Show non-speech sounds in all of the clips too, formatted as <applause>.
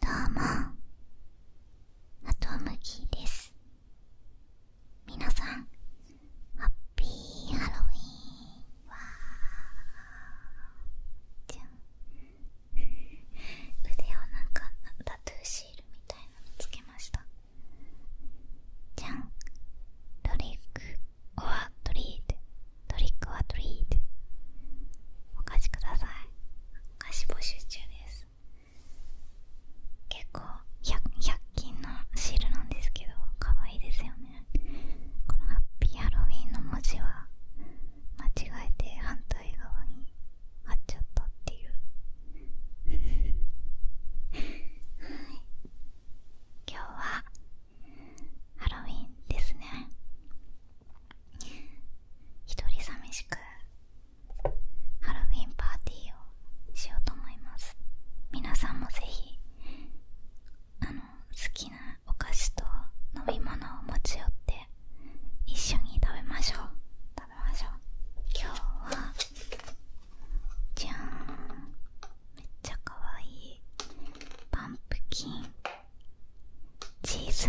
どうもハトムギですみなさんハッピーハロウィンわじゃん <laughs> 腕をなんかタトゥーシールみたいなのつけましたじゃんトリック・オア・トリートトリックはトリートお貸しくださいお菓子募集中です結構 100, 均のシールなんですけど可愛いですよねこのハッピーハロウィンの文字は間違えて反対側に貼っちゃったっていう <laughs> 今日はハロウィンですね一人寂しくハロウィンパーティーをしようと思います皆さんもぜひあの好きなお菓子と飲み物を持ち寄って一緒に食べましょう食べましょう今日はじゃーんめっちゃかわいいパンプキンチーズ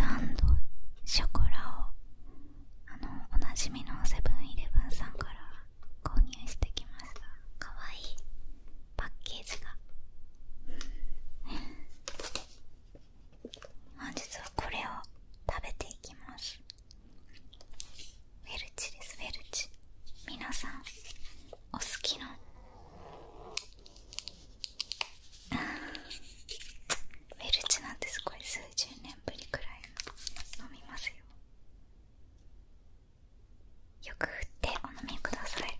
ショコラをあのおなじみのセブンイレブンさんから購入してきましたかわいいパッケージが本日はこれを食べていきますウェルチですウェルチ皆さんお好きのウェルチなんてすごい数十年ぶりくらい飲みますよよく振ってお飲みください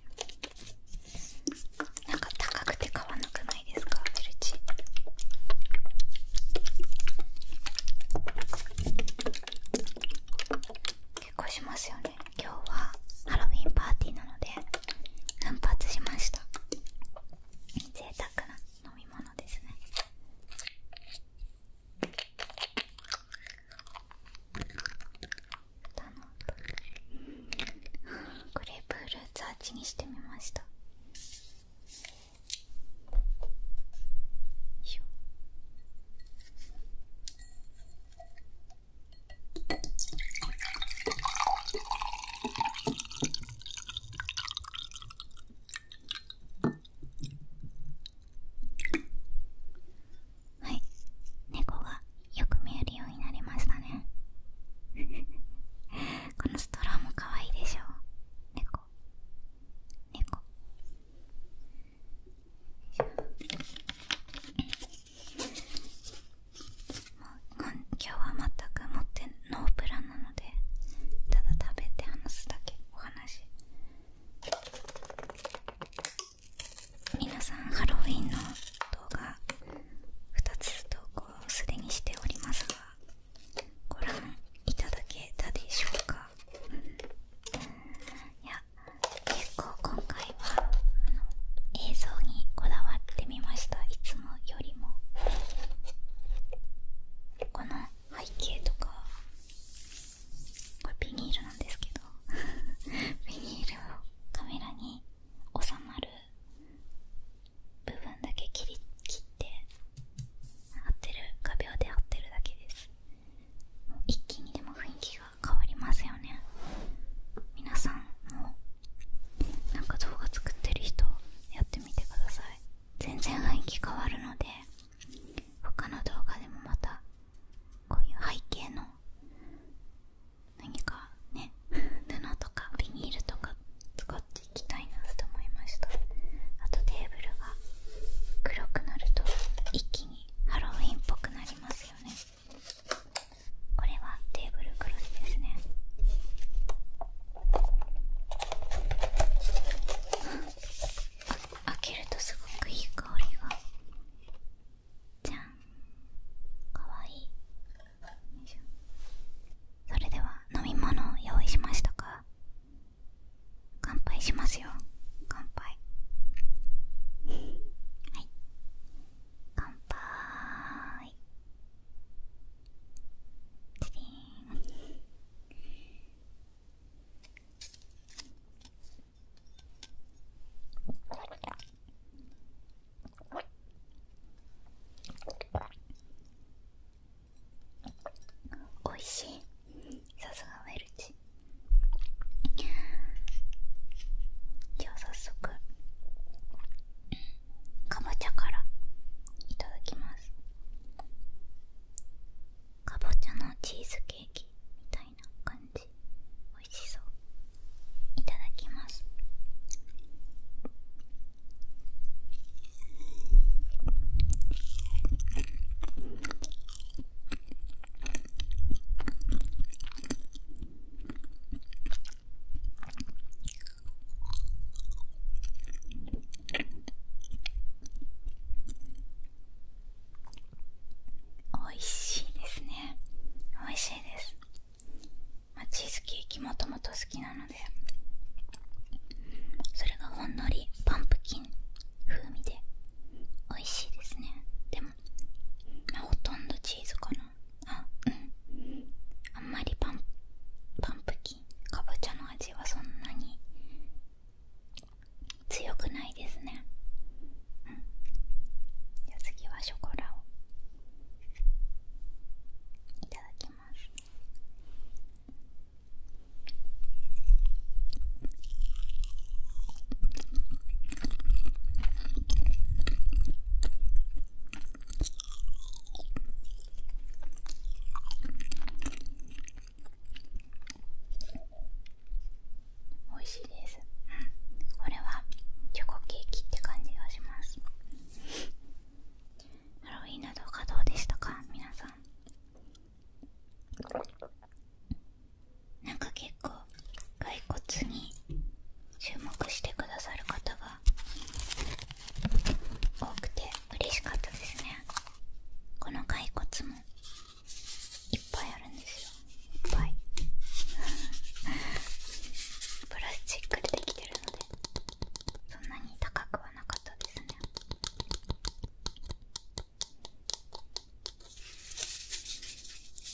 なんか高くて買わなくないですかウェルチ結構しますよね今日はハロウィンパーティーなので奮発しました贅沢な飲み物ですねグレープフルーツ味にしてみましたよいしょはい猫がよく見えるようになりましたね <laughs> このストローも可愛いでしょう。猫猫ま今日は全く持ってノープランなのでただ食べて話すだけお話皆さんハロウィンの動画2つ投稿すでにしておりますがご覧いただけたでしょうかいや結構今回はあの映像にこだわってみましたいつよりもこの背景とかこれビニールなんですけど <laughs> ビニールをカメラに収まる部分だけ切り切って合ってる画鋲で合ってるだけです一気にでも雰囲気が変わりますよね皆さんもなんか動画作ってる人やってみてください全然雰囲気変わるので他の動画でもまたこういう背景の何かね布とかビニールとか使っていきたいなと思いましたあとテーブルが黒くなると一気にハロウィンっぽくなりますよねこれはテーブルクロスですね <laughs> 開けるとすごくいい香りがじゃんかわいそれでは飲み物を用意しましたか乾杯しますよ乾杯はい乾杯チリーおいしいさすがウェルチじゃあ早速かぼちゃからいただきますかぼちゃのチーズケーキみたいな感じ美味しそういただきます美味しいですね美味しいです、チーズケーキもともと好きなのでそれがほんのりパンプキン風味で美味しいですねでも、ほとんどチーズかなあうんあんまりパンパンプキンかぼちゃの味はそんなに強くないですねうんじゃあ次はショコラをいただきますうん。美味しいです、これはチョコケーキって感じがしますハロウィンな動画どうでしたか皆さんなんか結構骸骨に注目してくださる方が多くて嬉しかったですねこの骸骨もいっぱいあるんですよいっぱい <laughs> プラスチックでできてるのでそんなに高くはなかったですね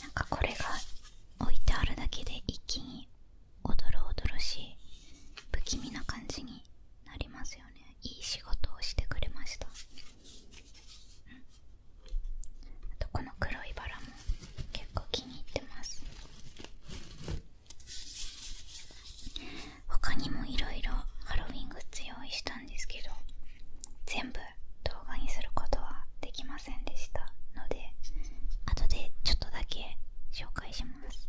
なんかこれが置いてあるだけで一気におどしい不気味な感じになりますよねいい仕事をしてくれました、とこの黒いバラも結構気に入ってます他にもいろいろハロウィングッズ用意したんですけど全部動画にすることはできませんでしたので後でちょっとだけ紹介。介します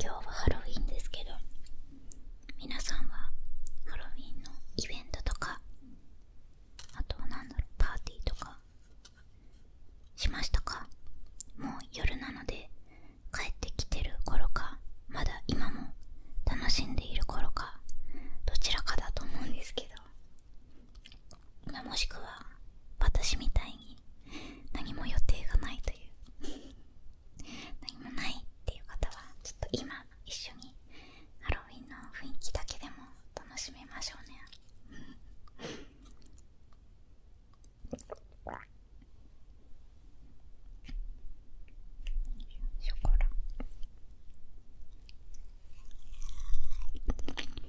今日はハロウィンですけど皆さんはハロウィンのイベントとかあと何だろうパーティーとかしましたかもう夜なので帰ってきてる頃かまだ今も楽しんでいる頃かどちらかだと思うんですけどまもしくは私みたいに何も予定がないという <laughs> 何もないっていう方はちょっと今一緒にハロウィンの雰囲気だけでも楽しめましょうねショコラチーズ。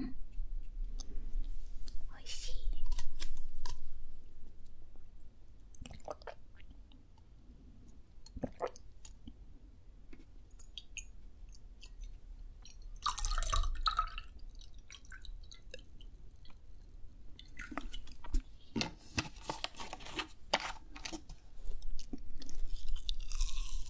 うんおいしい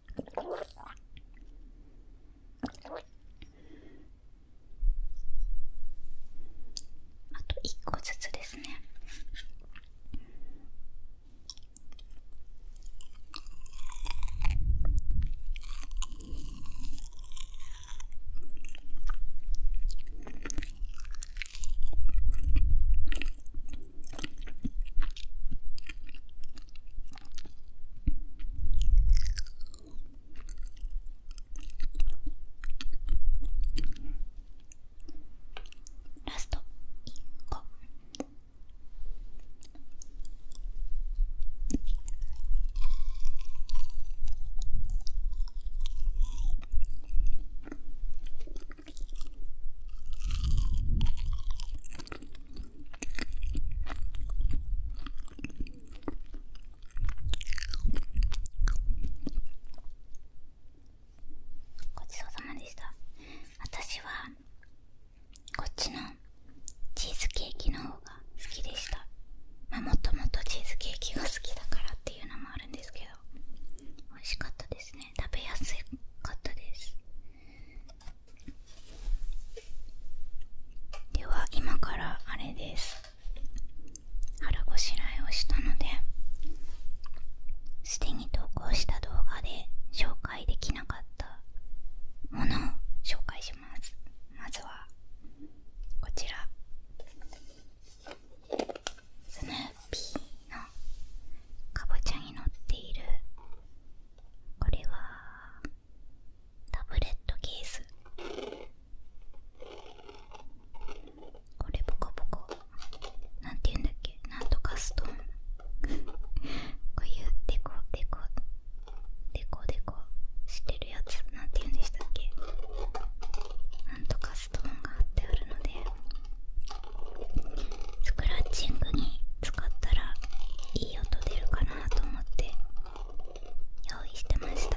あと1個ずつですねラスト1ごちそうさまでした私はこっちのチーズケーキの方が好きでしたまあもともとチーズケーキが好きだからっていうのもあるんですけど美味しかったですね食べやすかったですでは今からあれです腹ごしらえをしたのですでに投稿した動画で紹介できなかったものを紹介しますまずはこちらスヌーピーのかぼちゃに乗っているこれはタブレットケースこれボコボコなんて言うんだっけなんとかストーン <laughs> こういうデコデコデコデコしてるやつなんて言うんでしたっけなんとかストーンがあってあるのでスクラッチングに使ったらいい音出るかなと思って用意してました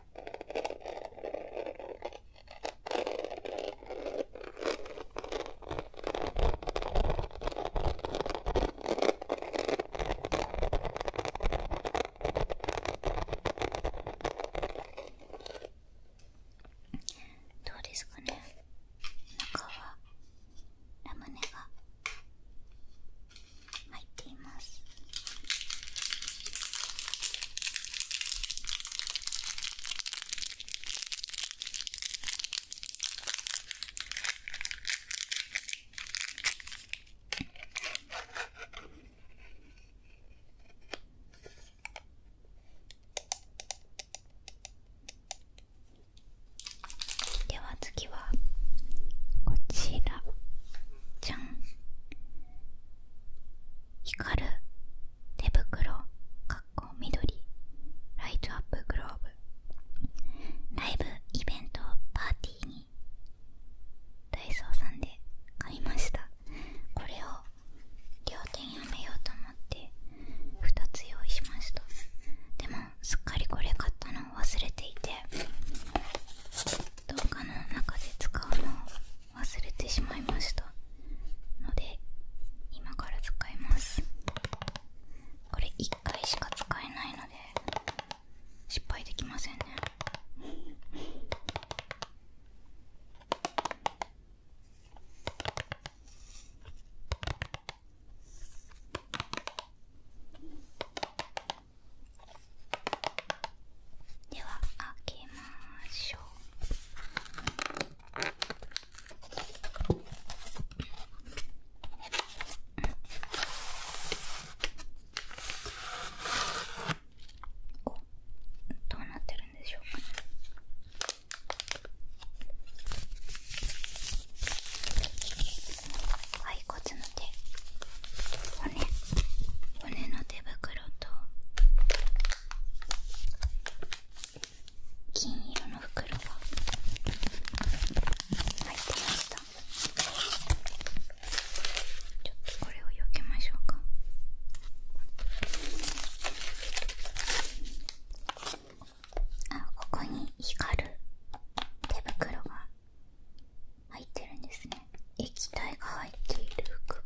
どうですかね中はラムネが入っていますでは次はこちらじゃん光る手袋かっこ緑ライトアップグローブライブイベントパーティーにダイソーさんで買いましたこれを両手にはめようと思って2つ用意しましたでもすっかりこれ買ったのを忘れていてどうかの中で使うのを忘れてしまいましたので今から使いますこれ1回しか使えないので失敗できませんねでは開けましょうどうなってるんでしょうかねはいこっちの手骨骨の手袋と金色の袋が入ってましたちょっとこれをよけましょうかあここに光る手袋が入ってるんですね液体が入っている服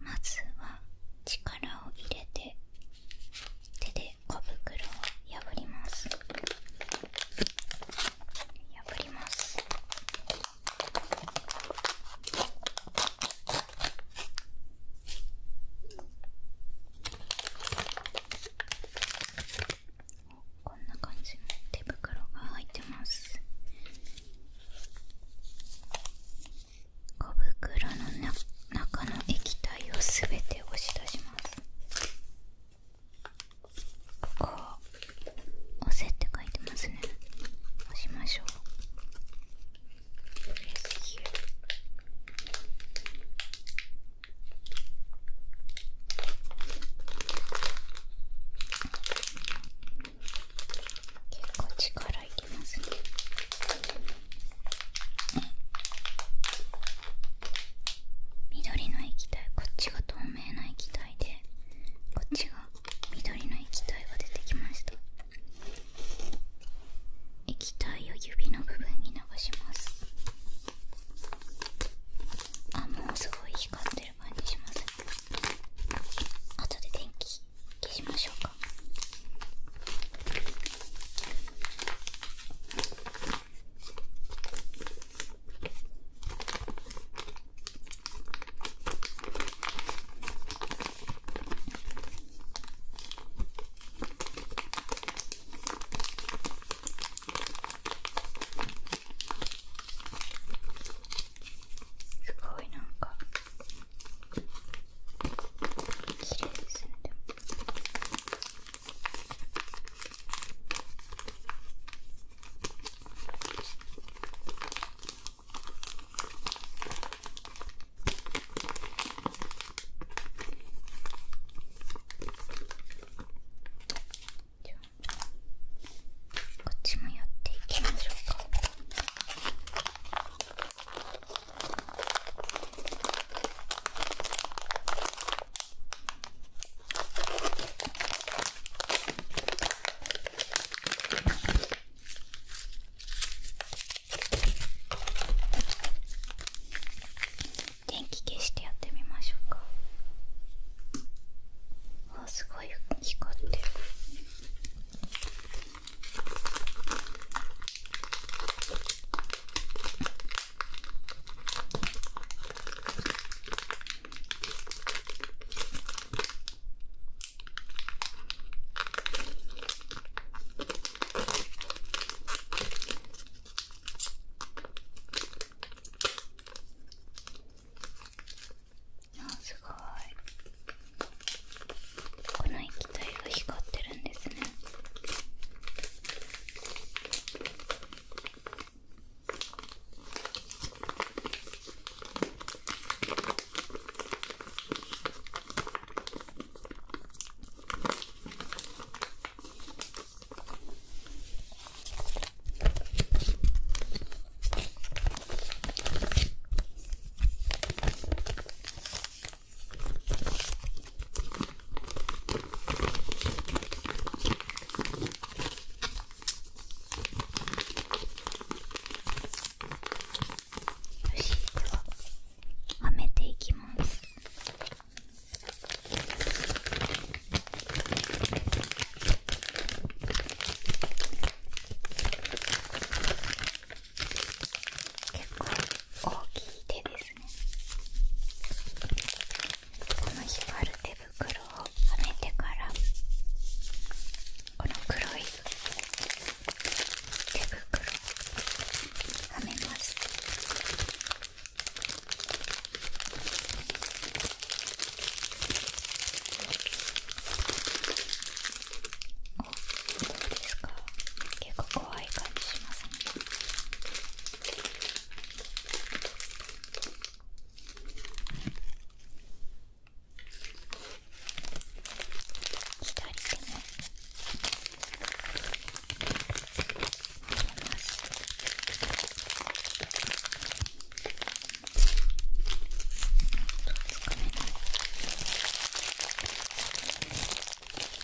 まずは力を入れて手で小袋を破ります破りますこんな感じの手袋が入ってます小袋の中の液体をすべて押し出しますここ押せって書いてますね押しましょう結構力いきますね緑の液体こっちが透明な液体でこっちが緑の液体が出てきました液体を指の部分に流しますあもうすごい光ってる感じします後で電気消しましょうかすごいなんか綺麗ですねこっちもやっていきましょうか。電気消してやってみましょうかあすごい光ってる。あすごいこの液体が光ってるんですねよしでははめていきます大きい手ですねこの光る手袋をはめてからこの黒い手袋をはめますどうですか結構怖い感じしますね左手もすち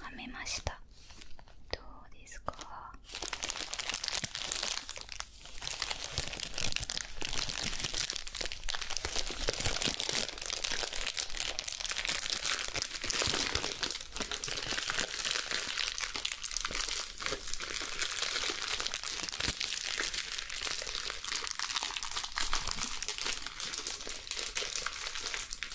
はめましたどうですか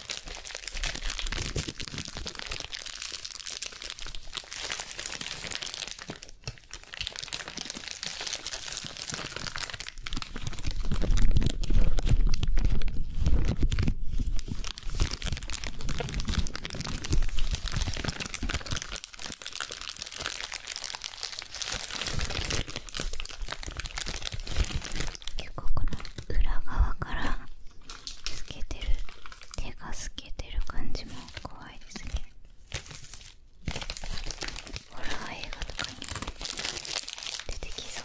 結構この裏側から透けてる手が透けてる感じも怖いですねホラー映画とかに出てきそう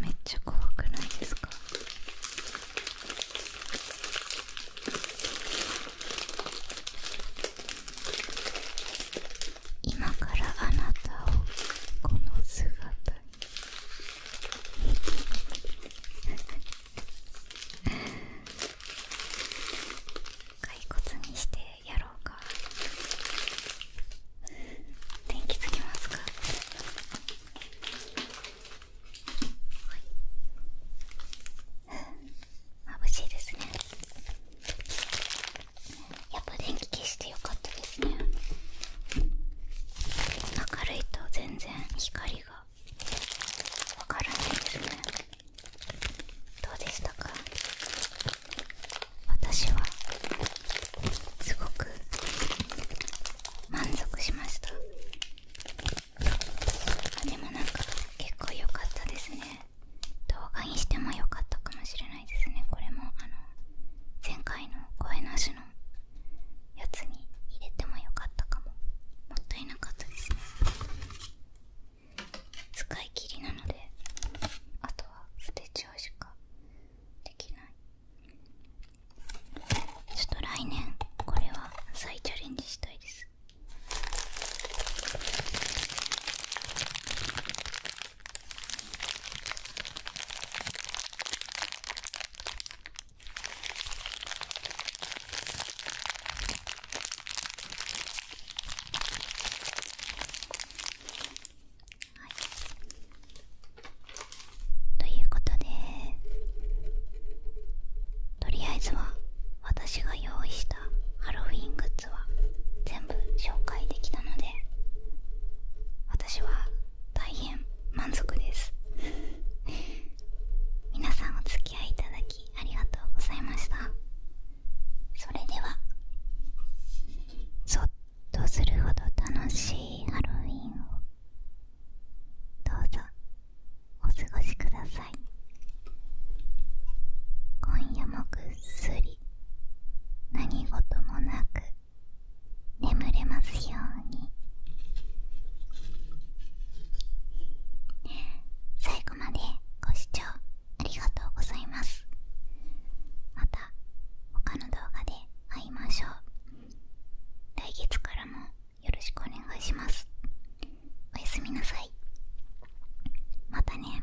めっちゃ怖くないですか今からあなたをこの姿に <laughs> 骸骨にしてやろうか電気つけますかはい眩しいですねやっぱ電気消してよかったですね明るいと全然光がわからないですねどうでしたか私はすごく満足しましたでもなんか結構良かったですね動画にしても良かったかもしれないですねこれもあの前回の声なしのやつに入れても良かったかももったいなかったですね使い切りなのであとは捨てちゃうしかできないちょっと来年これは再チャレンジしたいです。はい、ということでとりあえずは私が用意したハロウィングッズは全部紹介できたので私は大変満足です <laughs> 皆さんお付き合いいただきありがとうございましたそれではゾっとするほど楽しいハロウィンをどうぞお過ごしください今夜もぐっすり何事もなく眠れますように最後までご視聴ありがとうございますまた他の動画で会いましょう来月からもよろしくお願いしますおやすみなさいまたね